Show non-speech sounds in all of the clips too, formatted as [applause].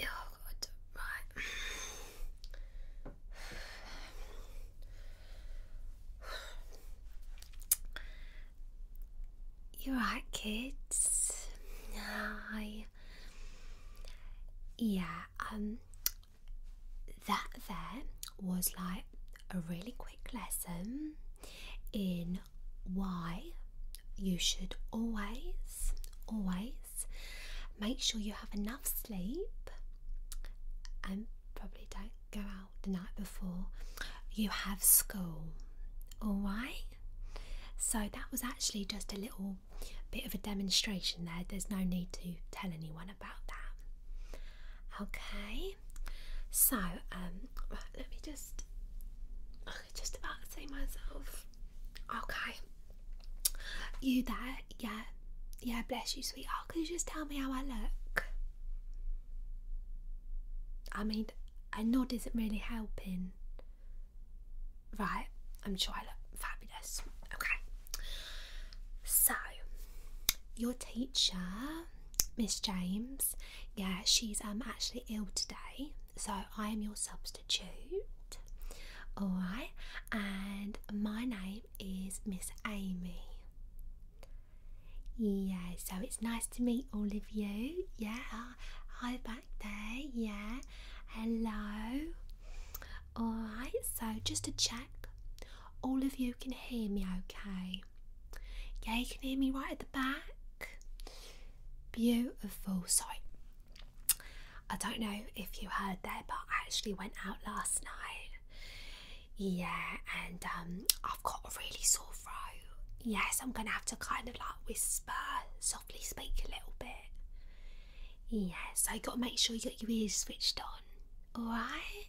Oh god, right. You're right, kids. I, yeah, um, that there was like a really quick lesson in why you should always, always make sure you have enough sleep and probably don't go out the night before you have school. Alright? So that was actually just a little bit of a demonstration there. There's no need to tell anyone about that. Okay? So, um, let me just just about to say myself. Okay. You there? Yeah. Yeah, bless you, sweetheart. Could you just tell me how I look? I mean, a nod isn't really helping. Right, I'm sure I look fabulous. Okay. So, your teacher, Miss James, yeah, she's um actually ill today, so I am your substitute. Alright, and my name is Miss Amy. Yeah, so it's nice to meet all of you. Yeah, I'm back there. Yeah, hello. Alright, so just to check, all of you can hear me okay? Yeah, you can hear me right at the back. Beautiful. Sorry, I don't know if you heard that, but I actually went out last night. Yeah, and um, I've got a really sore throat. Yes, I'm gonna have to kind of like whisper, softly speak a little bit. Yes, I gotta make sure you got your ears switched on. Alright?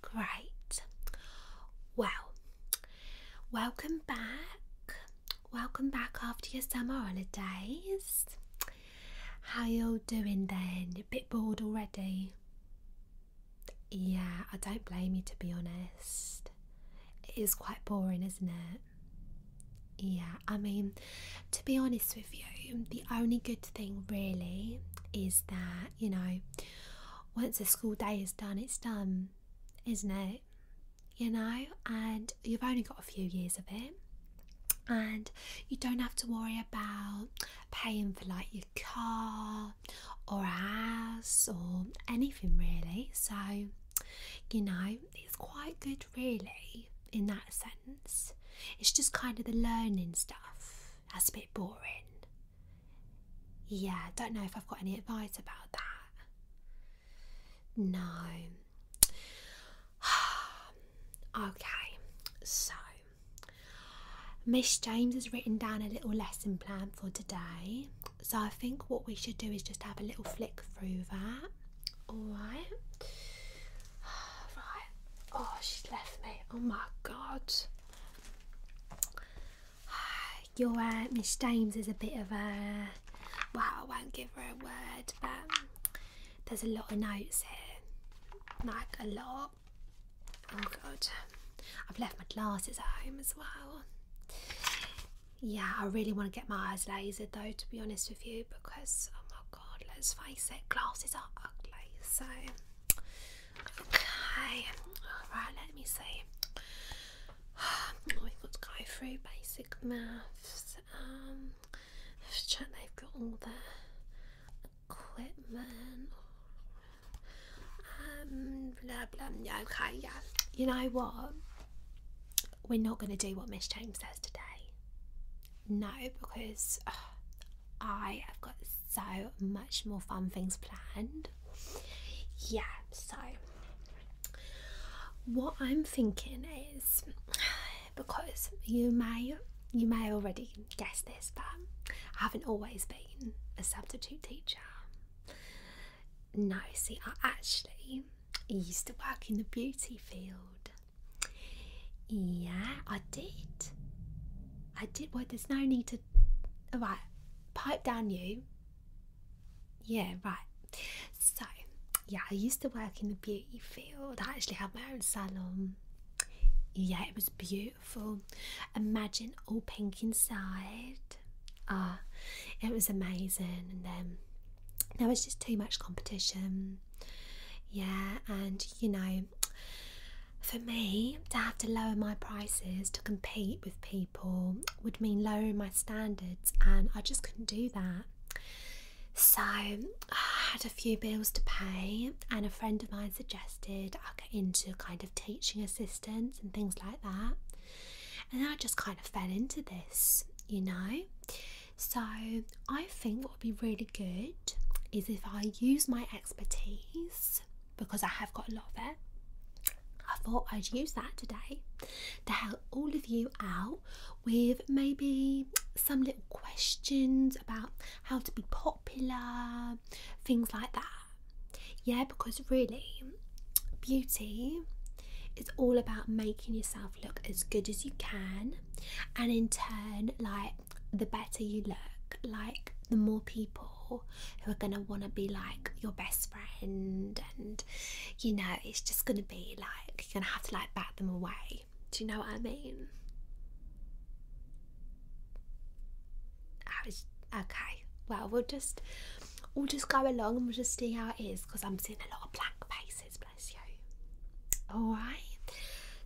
Great. Well, Welcome back. Welcome back after your summer holidays. How you all doing then? A bit bored already? Yeah, I don't blame you to be honest. It is quite boring, isn't it? Yeah, I mean, to be honest with you, the only good thing really is that, you know, once the school day is done, it's done isn't it? You know, and you've only got a few years of it, and you don't have to worry about paying for like your car or a house or anything really. So, you know, it's quite good, really, in that sense. It's just kind of the learning stuff that's a bit boring. Yeah, don't know if I've got any advice about that. No. [sighs] okay, so Miss James has written down a little lesson plan for today. So I think what we should do is just have a little flick through that. Alright. [sighs] Right. Oh, she's left me. Oh my god. [sighs] your uh, Miss James is a bit of a well, I won't give her a word, but um, there's a lot of notes here, like a lot. Oh god, I've left my glasses at home as well. Yeah, I really want to get my eyes lasered though, to be honest with you, because oh my god, let's face it, glasses are ugly. So, okay, all right, let me see. [sighs] We've got to go through basic maths. Um, let's check they've got all their equipment. Um, blah blah. okay, yeah. You know what? We're not going to do what Miss James says today. No, because [sighs] I have got so much more fun things planned. Yeah, so what I'm thinking is because you may you may already guess this, but I haven't always been a substitute teacher. No, see, I actually used to work in the beauty field. Yeah, I did. I did. Well, there's no need to. All right, pipe down you. Yeah, right. So, yeah, I used to work in the beauty field. I actually had my own salon. Yeah, it was beautiful. Imagine all pink inside. Ah, it was amazing. And then there was just too much competition. Yeah, and you know, for me to have to lower my prices to compete with people, would mean lowering my standards, and I just couldn't do that. So, I had a few bills to pay, and a friend of mine suggested I get into kind of teaching assistants and things like that. And I just kind of fell into this, you know. So, I think what would be really good is if I use my expertise because I have got a lot of it I thought I'd use that today to help all of you out with maybe some little questions about how to be popular, things like that. Yeah, because really, beauty is all about making yourself look as good as you can, and in turn, like the better you look, like the more people who are going to want to be like your best friend you know it's just gonna be like you're gonna have to like bat them away do you know what i mean okay well we'll just we'll just go along and we'll just see how it is because i'm seeing a lot of blank faces bless you all right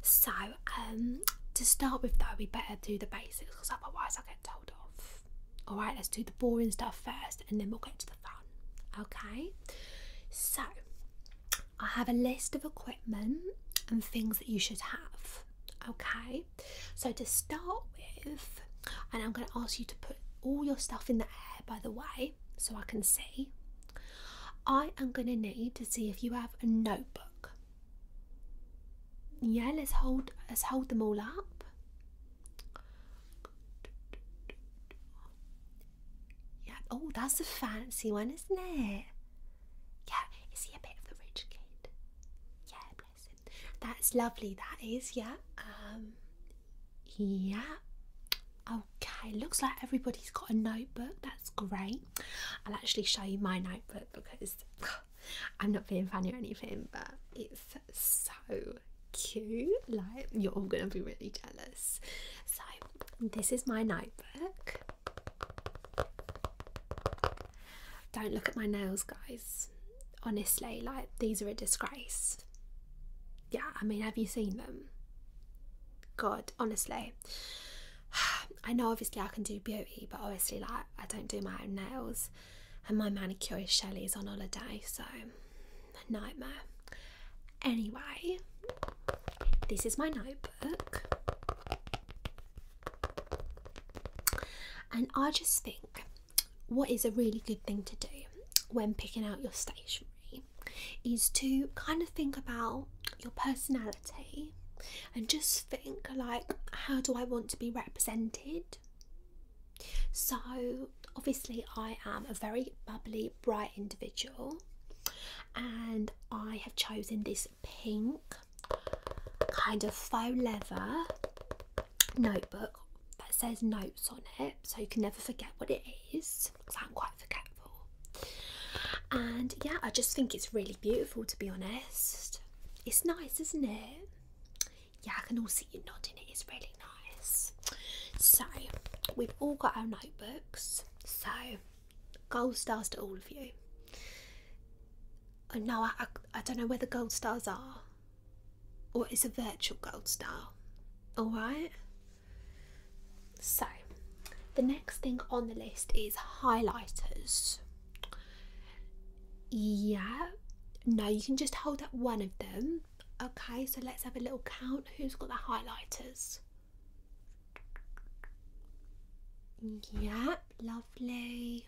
so um to start with though we better do the basics because otherwise i will told off. Alright, let's do the boring stuff first and then we'll get to the fun. Okay? So, I have a list of equipment and things that you should have. Okay? So, to start with, and I'm going to ask you to put all your stuff in the air, by the way, so I can see. I am going to need to see if you have a notebook. Yeah, let's hold let's hold them all up. Yeah. Oh, that's a fancy one, isn't it? Yeah. Is he a bit of a rich kid? Yeah, bless him. That's lovely. That is. Yeah. Um. Yeah. Okay. Looks like everybody's got a notebook. That's great. I'll actually show you my notebook because [sighs] I'm not being funny or anything, but it's so cute. Like, you're all gonna be really jealous. So, this is my notebook. Don't look at my nails, guys. Honestly, like, these are a disgrace. Yeah, I mean, have you seen them? God, honestly. [sighs] I know obviously I can do beauty, but honestly, like, I don't do my own nails and my manicure, Shelley is on holiday, so nightmare. Anyway, this is my notebook, and I just think what is a really good thing to do when picking out your stationery is to kind of think about your personality and just think like how do i want to be represented so, obviously, I am a very bubbly, bright individual, and I have chosen this pink kind of faux leather notebook that says notes on it, so you can never forget what it is because I'm quite forgetful. And yeah, I just think it's really beautiful to be honest. It's nice, isn't it? yeah, I can all see you nodding. It is really nice. So we've all got our notebooks. So gold stars to all of you. Oh, no, I know I, I don't know where the gold stars are, or it's a virtual gold star. All right. So the next thing on the list is highlighters. Yeah. No, you can just hold up one of them Okay, so let's have a little count. Who's got the highlighters? Yep, lovely.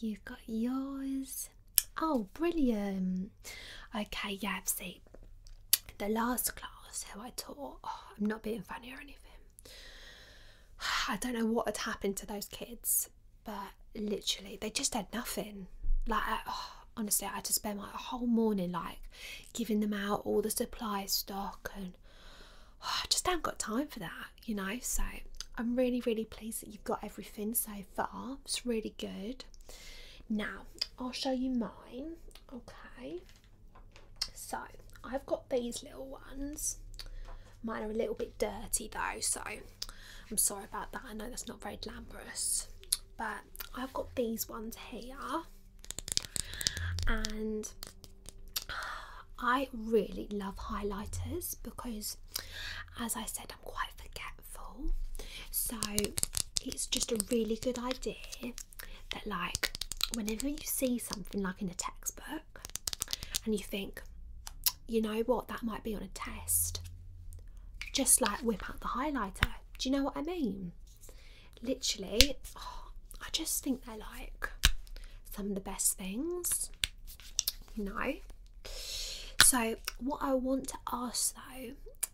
You've got yours. Oh, brilliant. Okay, yeah, see, the last class who I taught, oh, I'm not being funny or anything. [sighs] I don't know what had happened to those kids, but literally, they just had nothing. Like, oh, honestly, I had to spend my whole morning like giving them out all the supplies stock, and oh, I just haven't got time for that, you know. So I'm really, really pleased that you've got everything so far. It's really good. Now I'll show you mine. Okay. So I've got these little ones. Mine are a little bit dirty though, so I'm sorry about that. I know that's not very glamorous, but I've got these ones here, and I really love highlighters because, as I said, I'm quite forgetful, so it's just a really good idea that, like, whenever you see something like in a textbook and you think, you know what, that might be on a test. Just like whip out the highlighter. Do you know what I mean? Literally, oh, I just think they're like some of the best things, No. So, what I want to ask though,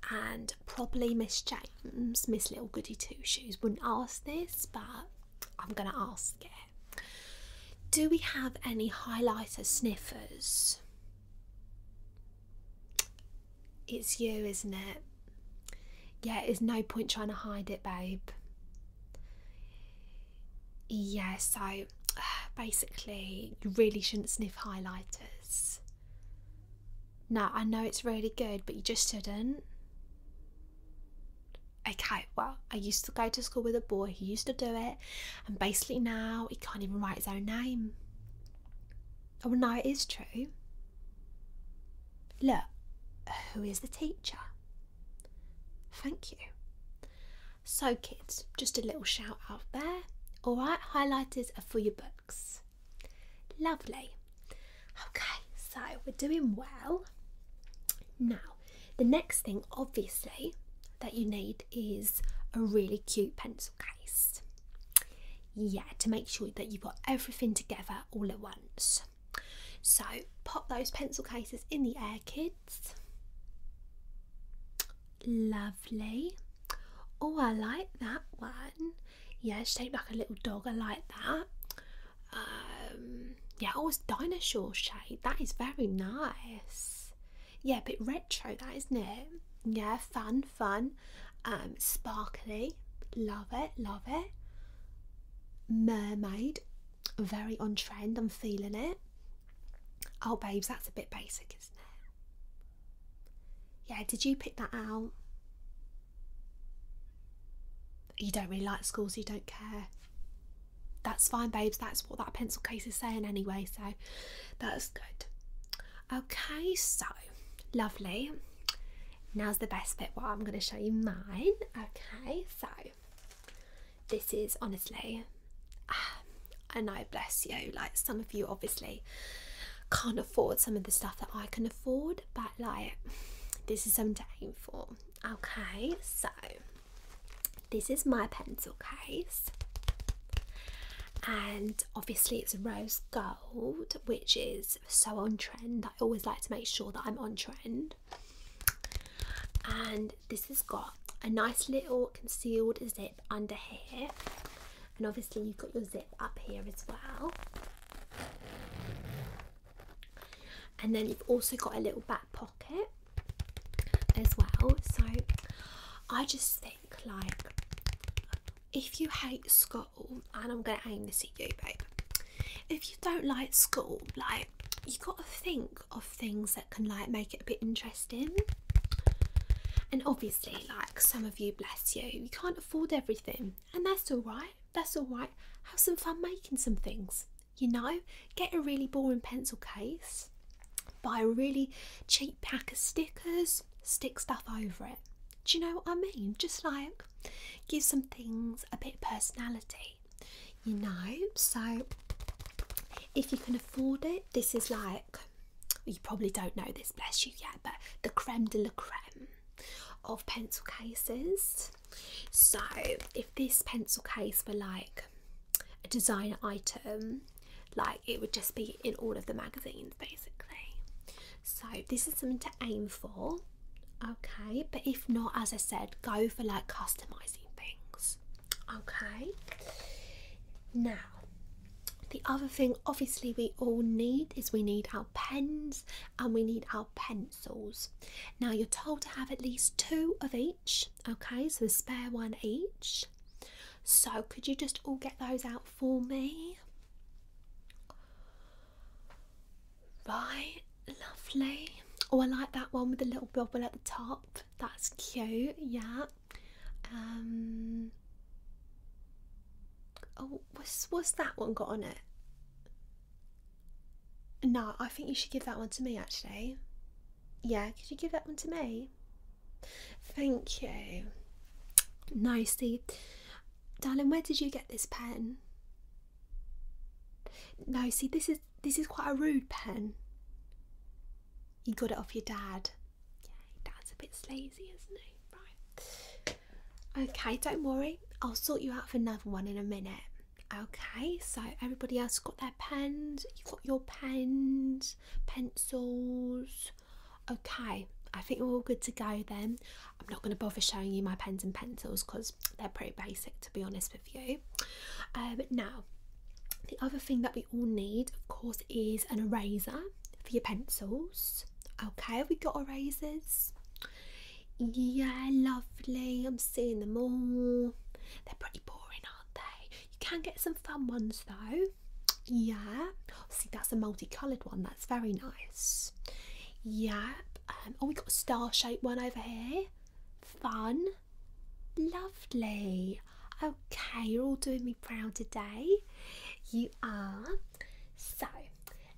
and probably Miss James, Miss Little Goody Two Shoes wouldn't ask this, but I'm gonna ask it. Do we have any highlighter sniffers? It's you, isn't it? Yeah, there's no point trying to hide it, babe. Yeah, so [sighs] basically, you really shouldn't sniff highlighters. No, I know it's really good, but you just shouldn't. Okay, well, I used to go to school with a boy who used to do it, and basically now he can't even write his own name. Oh, no, it is true. Look, who is the teacher? Thank you. So, kids, just a little shout out there. All right, highlighters are for your books. Lovely. Okay, so we're doing well. Now, the next thing, obviously, that you need is a really cute pencil case. Yeah, to make sure that you've got everything together all at once. So pop those pencil cases in the air, kids. Lovely. Oh, I like that one. Yeah, it's shaped like a little dog. I like that. Um, yeah, oh, it's dinosaur shape. That is very nice. Yeah, a bit retro, that isn't it? Yeah, fun, fun, um, sparkly. Love it, love it. Mermaid, very on trend. I'm feeling it. Oh, babes, that's a bit basic, isn't it? Yeah, did you pick that out? You don't really like schools, so you don't care. That's fine, babes. That's what that pencil case is saying anyway, so that's good. Okay, so lovely. Now's the best bit where I'm going to show you mine. Okay, so this is honestly, and ah, I bless you. Like, some of you obviously can't afford some of the stuff that I can afford, but like, this is something for. Okay, so this is my pencil case, and obviously it's rose gold, which is so on trend. I always like to make sure that I'm on trend. And this has got a nice little concealed zip under here, and obviously you've got your zip up here as well. And then you've also got a little back pocket as well. So I just think like if you hate school, and I'm gonna aim this at you, babe. If you don't like school, like you gotta think of things that can like make it a bit interesting. And obviously, like some of you, bless you, you can't afford everything, and that's all right. That's all right. Have some fun making some things you know, get a really boring pencil case, buy a really cheap pack of stickers, stick stuff over it. Do you know what I mean? Just like give some things a bit of personality, you know. So, if you can afford it, this is like you probably don't know this, bless you, yet, but the creme de la creme of pencil cases. So, if this pencil case were like a design item like it would just be in all of the magazines basically so this is something to aim for okay but if not as i said go for like customizing things okay now the other thing obviously we all need is we need our pens and we need our pencils now you're told to have at least two of each Okay, so the spare one each. So could you just all get those out for me? Right, lovely. Oh, I like that one with the little bubble at the top. That's cute, yeah. Um Oh, what's what's that one got on it? No, I think you should give that one to me actually. Yeah, could you give that one to me? Thank you. Nicely. Darling, where did you get this pen? No, see this is this is quite a rude pen. You got it off your dad. Yeah, dad's a bit lazy, isn't he? Right. Okay, don't worry. I'll sort you out for another one in a minute. Okay, so everybody else got pens. You've got your pens, pencils. Okay, I think we're all good to go then. I'm not going to bother showing you my pens and pencils because they're pretty basic, to be honest with you. Um, now, the other thing that we all need, of course, is an eraser for your pencils. Okay, have we got erasers? Yeah, lovely. I'm seeing them all. They're pretty boring, they? You can get some fun ones though. Yeah. See, that's a multicoloured one. That's very nice. Yep. Um, oh, we got a star-shaped one over here. Fun. Lovely. Okay, you're all doing me proud today. You are. So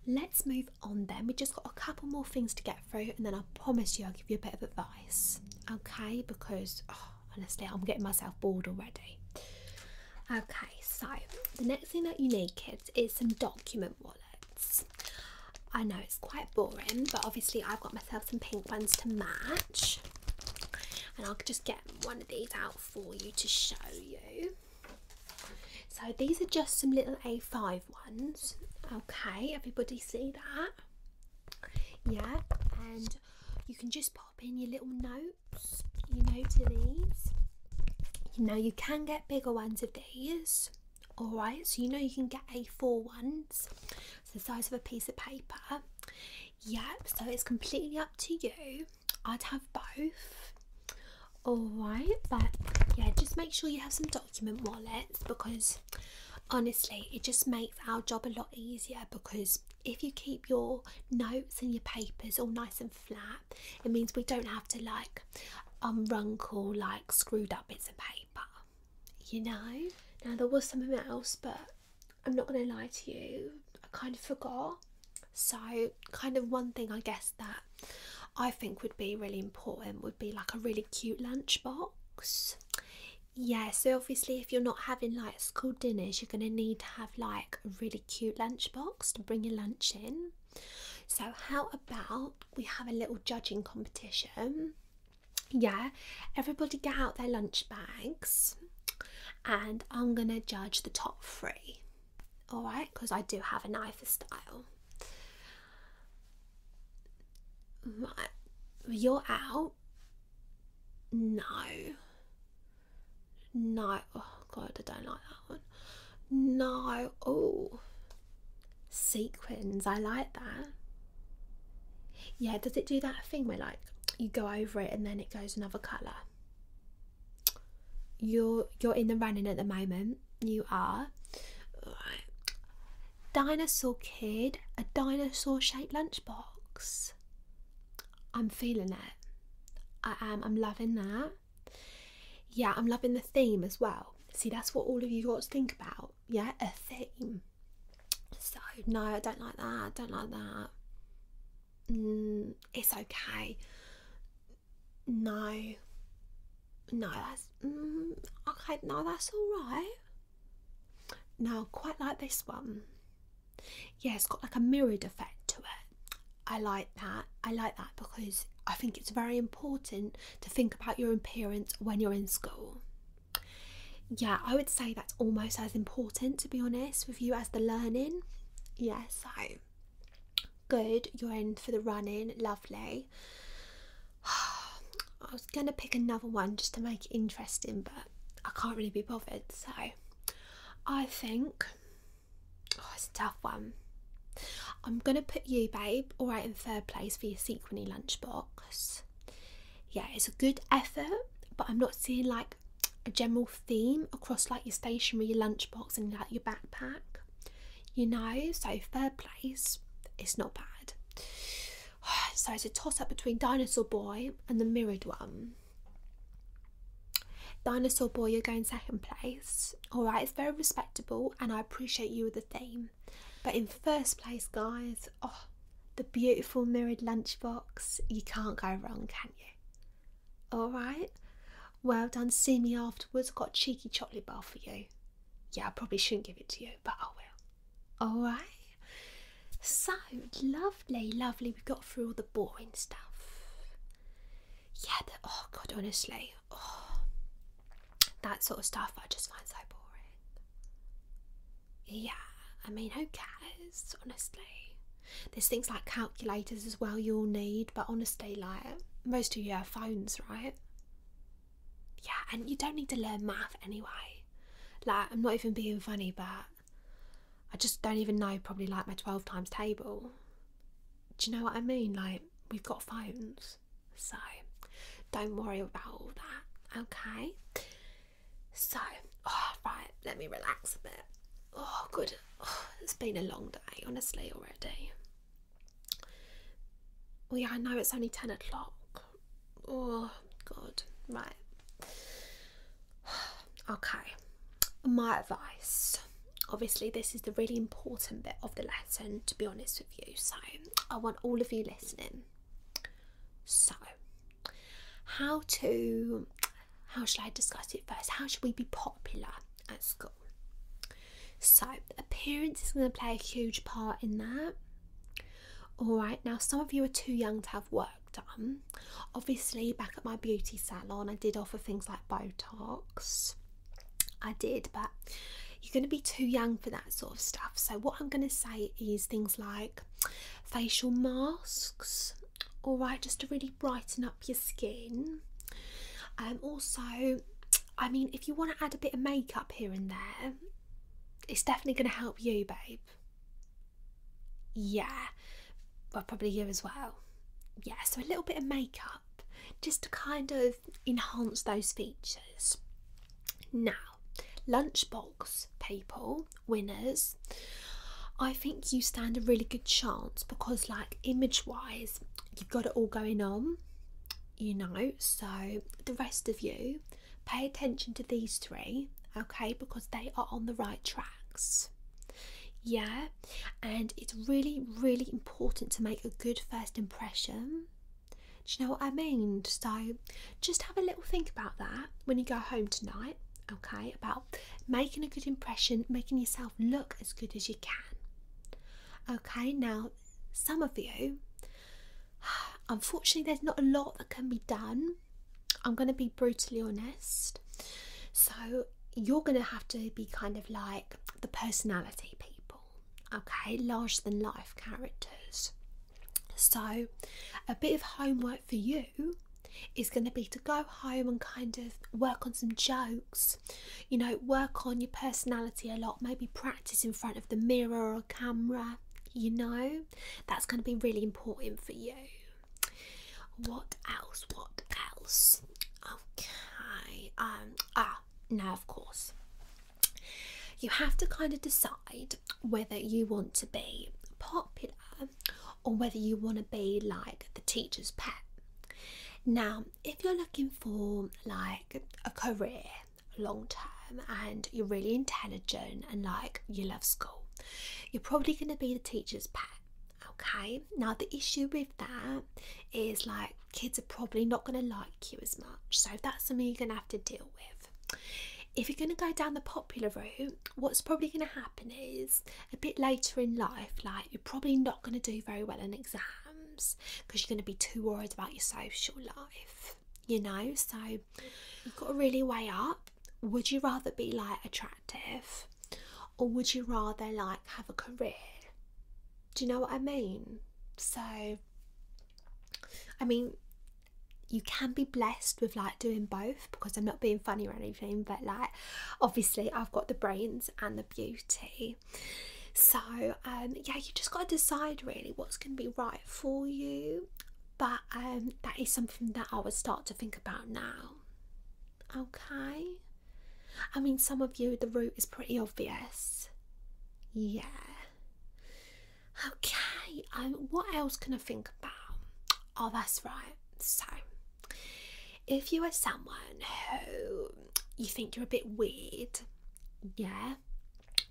let's move on then. We've just got a couple more things to get through, and then I promise you I'll give you a bit of advice. Okay, because oh, [sighs] honestly, I'm getting myself bored already. Okay, so the next thing that you need, kids, is some document wallets. I know it's quite boring, but obviously, I've got myself some pink ones to match, and I'll just get one of these out for you to show you. So, these are just some little A5 ones. Okay, everybody see that? Yeah, and you can just pop in your little notes, you know, to these. You know, you can get bigger ones of these, alright? So, you know, you can get a four ones. it's the size of a piece of paper. Yep, so it's completely up to you. I'd have both. Alright, but yeah, just make sure you have some document wallets because honestly, it just makes our job a lot easier because if you keep your notes and your papers all nice and flat, it means we don't have to like unruncle like screwed up bits of paper, you know. Now, there was something else, but I'm not going to lie to you, I kind of forgot. So, kind of one thing I guess that I think would be really important would be like a really cute lunchbox. Yeah, so obviously, if you're not having like school dinners, you're going to need to have like a really cute lunchbox to bring your lunch in. So, how about we have a little judging competition? Yeah, everybody get out their lunch bags and I'm going to judge the top three. All right, because I do have an eye for style. Right, you're out. No. No. Oh, God, I don't like that one. No. Oh. Sequins. I like that. Yeah, does it do that thing where, like, you go over it and then it goes another colour? You're, you're in the running at the moment. You are. Right. Dinosaur Kid, a dinosaur shaped lunchbox. I'm feeling it. I am. I'm loving that. Yeah, I'm loving the theme as well. See, that's what all of you got to think about. Yeah, a theme. So, no, I don't like that. I don't like that. Mm, it's okay. No. No, that's. Mm, okay, no, that's alright. Now, quite like this one yeah it's got like a mirrored effect to it i like that i like that because i think it's very important to think about your appearance when you're in school yeah i would say that's almost as important to be honest with you as the learning yeah so good you're in for the running lovely [sighs] gonna pick another one just to make it interesting, but I can't really be bothered. So I think oh, it's a tough one. I'm gonna put you, babe, all right in third place for your sequiny lunchbox. Yeah, it's a good effort, but I'm not seeing like a general theme across like your stationery, lunchbox, and like your backpack. You know, so third place, it's not bad. [sighs] so it's a toss up between Dinosaur Boy and the mirrored one. Dinosaur Boy, you're going second place. Alright, it's very respectable and I appreciate you with the theme. But in first place, guys, oh, the beautiful mirrored lunchbox. You can't go wrong, can you? Alright? Well done. See me afterwards. got cheeky chocolate bar for you. Yeah, I probably shouldn't give it to you, but I will. All right. So lovely, lovely. We got through all the boring stuff. Yeah. oh God, honestly, oh, that sort of stuff I just find so boring. Yeah. I mean, who cares? Honestly, there's things like calculators as well you'll need, but honestly, like most of you have phones, right? Yeah, and you don't need to learn math anyway. Like, I'm not even being funny, but I just don't even know, probably like my 12 times table. Do you know what I mean? Like, we've got phones, so don't worry about all that, okay? So, oh, right, let me relax a bit. Oh, good. Oh, it's been a long day, honestly, already. Oh yeah, I know it's only 10 o'clock. Oh, God. Right. [sighs] okay, my advice. Obviously, this is the really important bit of the lesson, to be honest with you. So, I want all of you listening. So, how to, how should I discuss it first? How should we be popular at school? So, appearance is going to play a huge part in that. All right, now some of you are too young to have work done. Obviously, back at my beauty salon, I did offer things like Botox. I did, but you're going to be too young for that sort of stuff. So, what I'm going to say is things like facial masks, all right, just to really brighten up your skin. Um, also, I mean, if you want to add a bit of makeup here and there, it's definitely going to help you, babe. Yeah, i probably you as well. Yeah, so a little bit of makeup just to kind of enhance those features. Now, lunchbox people, winners, I think you stand a really good chance because, like, image wise, you've got it all going on, you know. So, the rest of you, pay attention to these three, okay, because they are on the right tracks. Yeah, and it's really, really important to make a good first impression. Do you know what I mean? So just have a little think about that when you go home tonight, okay, about making a good impression, making yourself look as good as you can. Okay, now some of you, [sighs] unfortunately, there's not a lot that can be done I'm going to be brutally honest. So, you're going to have to be kind of like the personality people, okay? large than life characters. So, a bit of homework for you is going to be to go home and kind of work on some jokes, you know, work on your personality a lot, maybe practice in front of the mirror or camera, you know, that's going to be really important for you. What else? What else? Okay. Um. Ah. Now, of course, you have to kind of decide whether you want to be popular or whether you want to be like the teacher's pet. Now, if you're looking for like a career long term and you're really intelligent and like you love school you're probably going to be the teacher's pet. Okay, now the issue with that is like kids are probably not going to like you as much, so that's something you're going to have to deal with. If you're going to go down the popular route, what's probably going to happen is a bit later in life, like you're probably not going to do very well in exams because you're going to be too worried about your social life, you know. So you've got to really weigh up would you rather be like a or would you rather like have a career? Do you know what I mean? So, I mean, you can be blessed with like doing both because I'm not being funny or anything, but like, obviously, I've got the brains and the beauty. So, um, yeah, you just got to decide really what's going to be right for you. But that um, that is something that I would start to think about now. Okay. I mean some of you the route is pretty obvious. Yeah. Okay, um what else can I think about? Oh that's right. So if you are someone who you think you're a bit weird, yeah,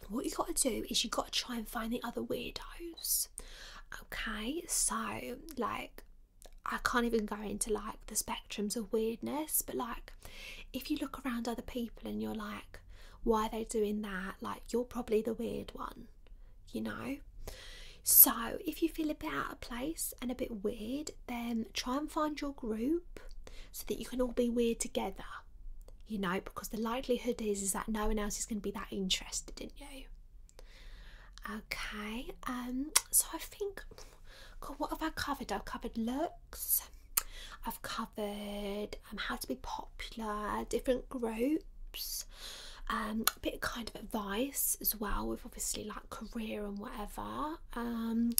what you gotta do is you gotta try and find the other weirdos okay so like i can't even go into like the spectrums of weirdness but like if you look around other people and you're like why are they doing that like you're probably the weird one you know so if you feel a bit out of place and a bit weird then try and find your group so that you can all be weird together you know because the likelihood is is that no one else is going to be that interested in you Okay, um, so I think, what have I covered? I've covered looks, I've covered um, how to be popular, different groups, um, a bit of kind of advice as well, with obviously like career and whatever. Um,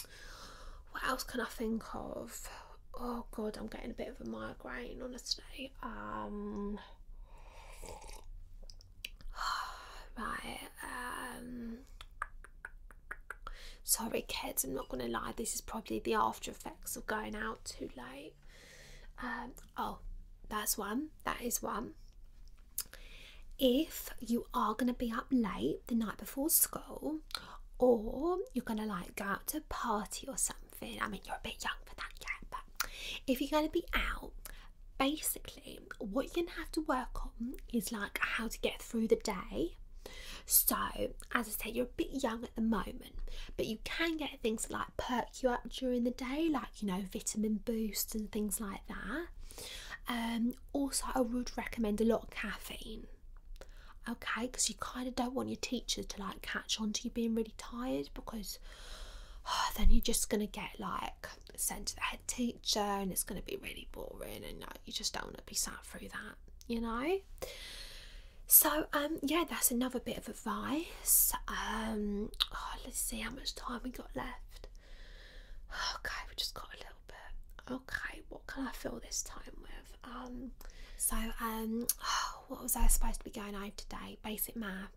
what else can I think of? Oh God, I'm getting a bit of a migraine, honestly. [sighs] right. Um, sorry, kids. I'm not gonna lie. This is probably the after effects of going out too late. Um, oh, that's one. That is one. If you are gonna be up late the night before school, or you're gonna like go out to a party or something. I mean, you're a bit young for that yet, but if you're gonna be out, basically what you're gonna have to work on is like how to get through the day so as i say you're a bit young at the moment but you can get things like perk you up during the day like you know vitamin boost and things like that um also i would recommend a lot of caffeine okay because you kind of don't want your teachers to like catch on to you being really tired because [sighs] then you're just going to get like sent to the head teacher and it's going to be really boring and you just don't want to be sat through that you know so um yeah that's another bit of advice um [sighs] let's see how much time we got left [sighs] okay we just got a little bit okay what can i fill this time with um so um what was i supposed to be going over today basic math.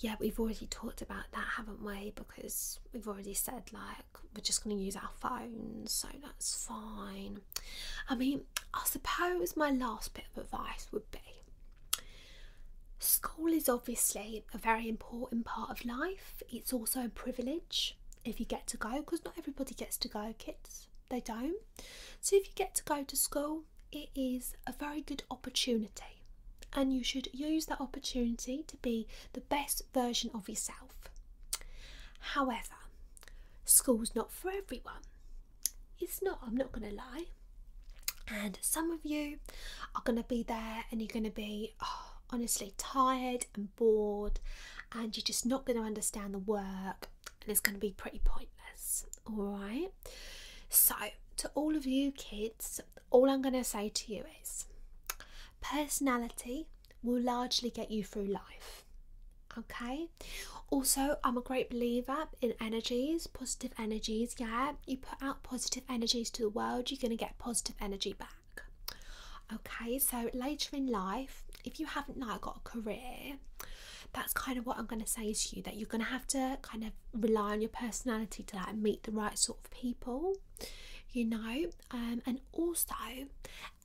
Yeah, we've already talked about that, haven't we? Because we've already said like we're just going to use our phones, so that's fine. I mean, I suppose my last bit of advice would be school is obviously a very important part of life, it's also a privilege if you get to go because not everybody gets to go kids they don't so if you get to go to school it is a very good opportunity, and you should use that opportunity to be the best version of yourself. However, school's not for everyone. It's not, I'm not going to lie. And some of you are going to be there and you're going to be oh, honestly tired and bored, and you're just not going to understand the work, and it's going to be pretty pointless. All right. So, to all of you kids, all I'm going to say to you is personality will largely get you through life. Okay, also, I'm a great believer in energies, positive energies. Yeah, you put out positive energies to the world, you're going to get positive energy back. Okay, so later in life, if you haven't now got a career, that's kind of what I'm going to say to you that you're going to have to kind of rely on your personality to like meet the right sort of people you know um, and also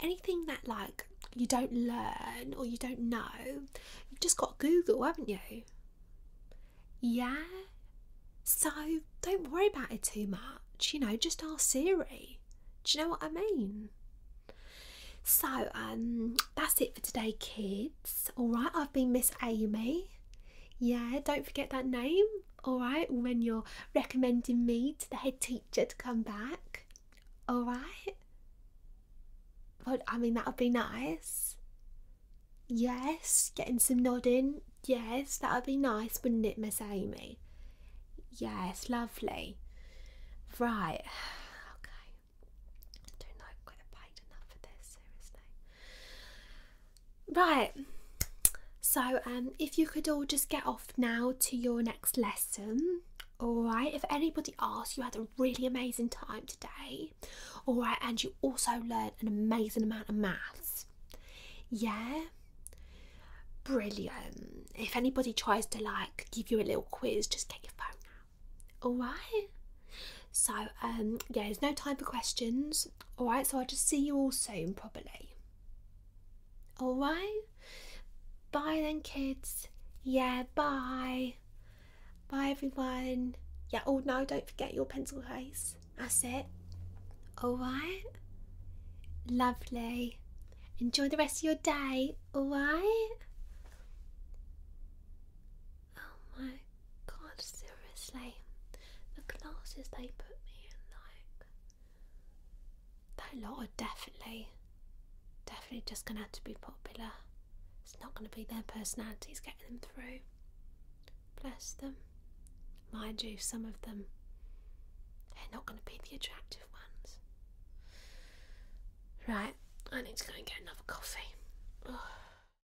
anything that like you don't learn or you don't know you've just got google haven't you yeah so don't worry about it too much you know just ask siri do you know what i mean so um that's it for today kids all right i've been miss amy yeah, don't forget that name, alright, when you're recommending me to the head teacher to come back, alright? Well, I mean, that would be nice. Yes, getting some nodding. Yes, that would be nice, wouldn't it, Miss Amy? Yes, lovely. Right, [sighs] okay. Right, so um, if you could all just get off now to your next lesson, alright? If anybody asks, you had a really amazing time today, alright? And you also learned an amazing amount of maths, yeah? Brilliant. If anybody tries to like give you a little quiz, just get your phone out, alright? So, um, yeah, there's no time for questions. All right, so I'll just see you all soon, probably. All right, bye then, kids. Yeah, bye. Bye, everyone. Yeah, oh no, don't forget your pencil case. That's it. All right, lovely. Enjoy the rest of your day. All right. Oh my god, seriously. The classes they put me in, like. That lot are definitely, definitely just gonna have to be popular. It's not gonna be their personalities getting them through. Bless them. Mind you, some of them, they're not gonna be the attractive ones. Right, I need to go and get another coffee.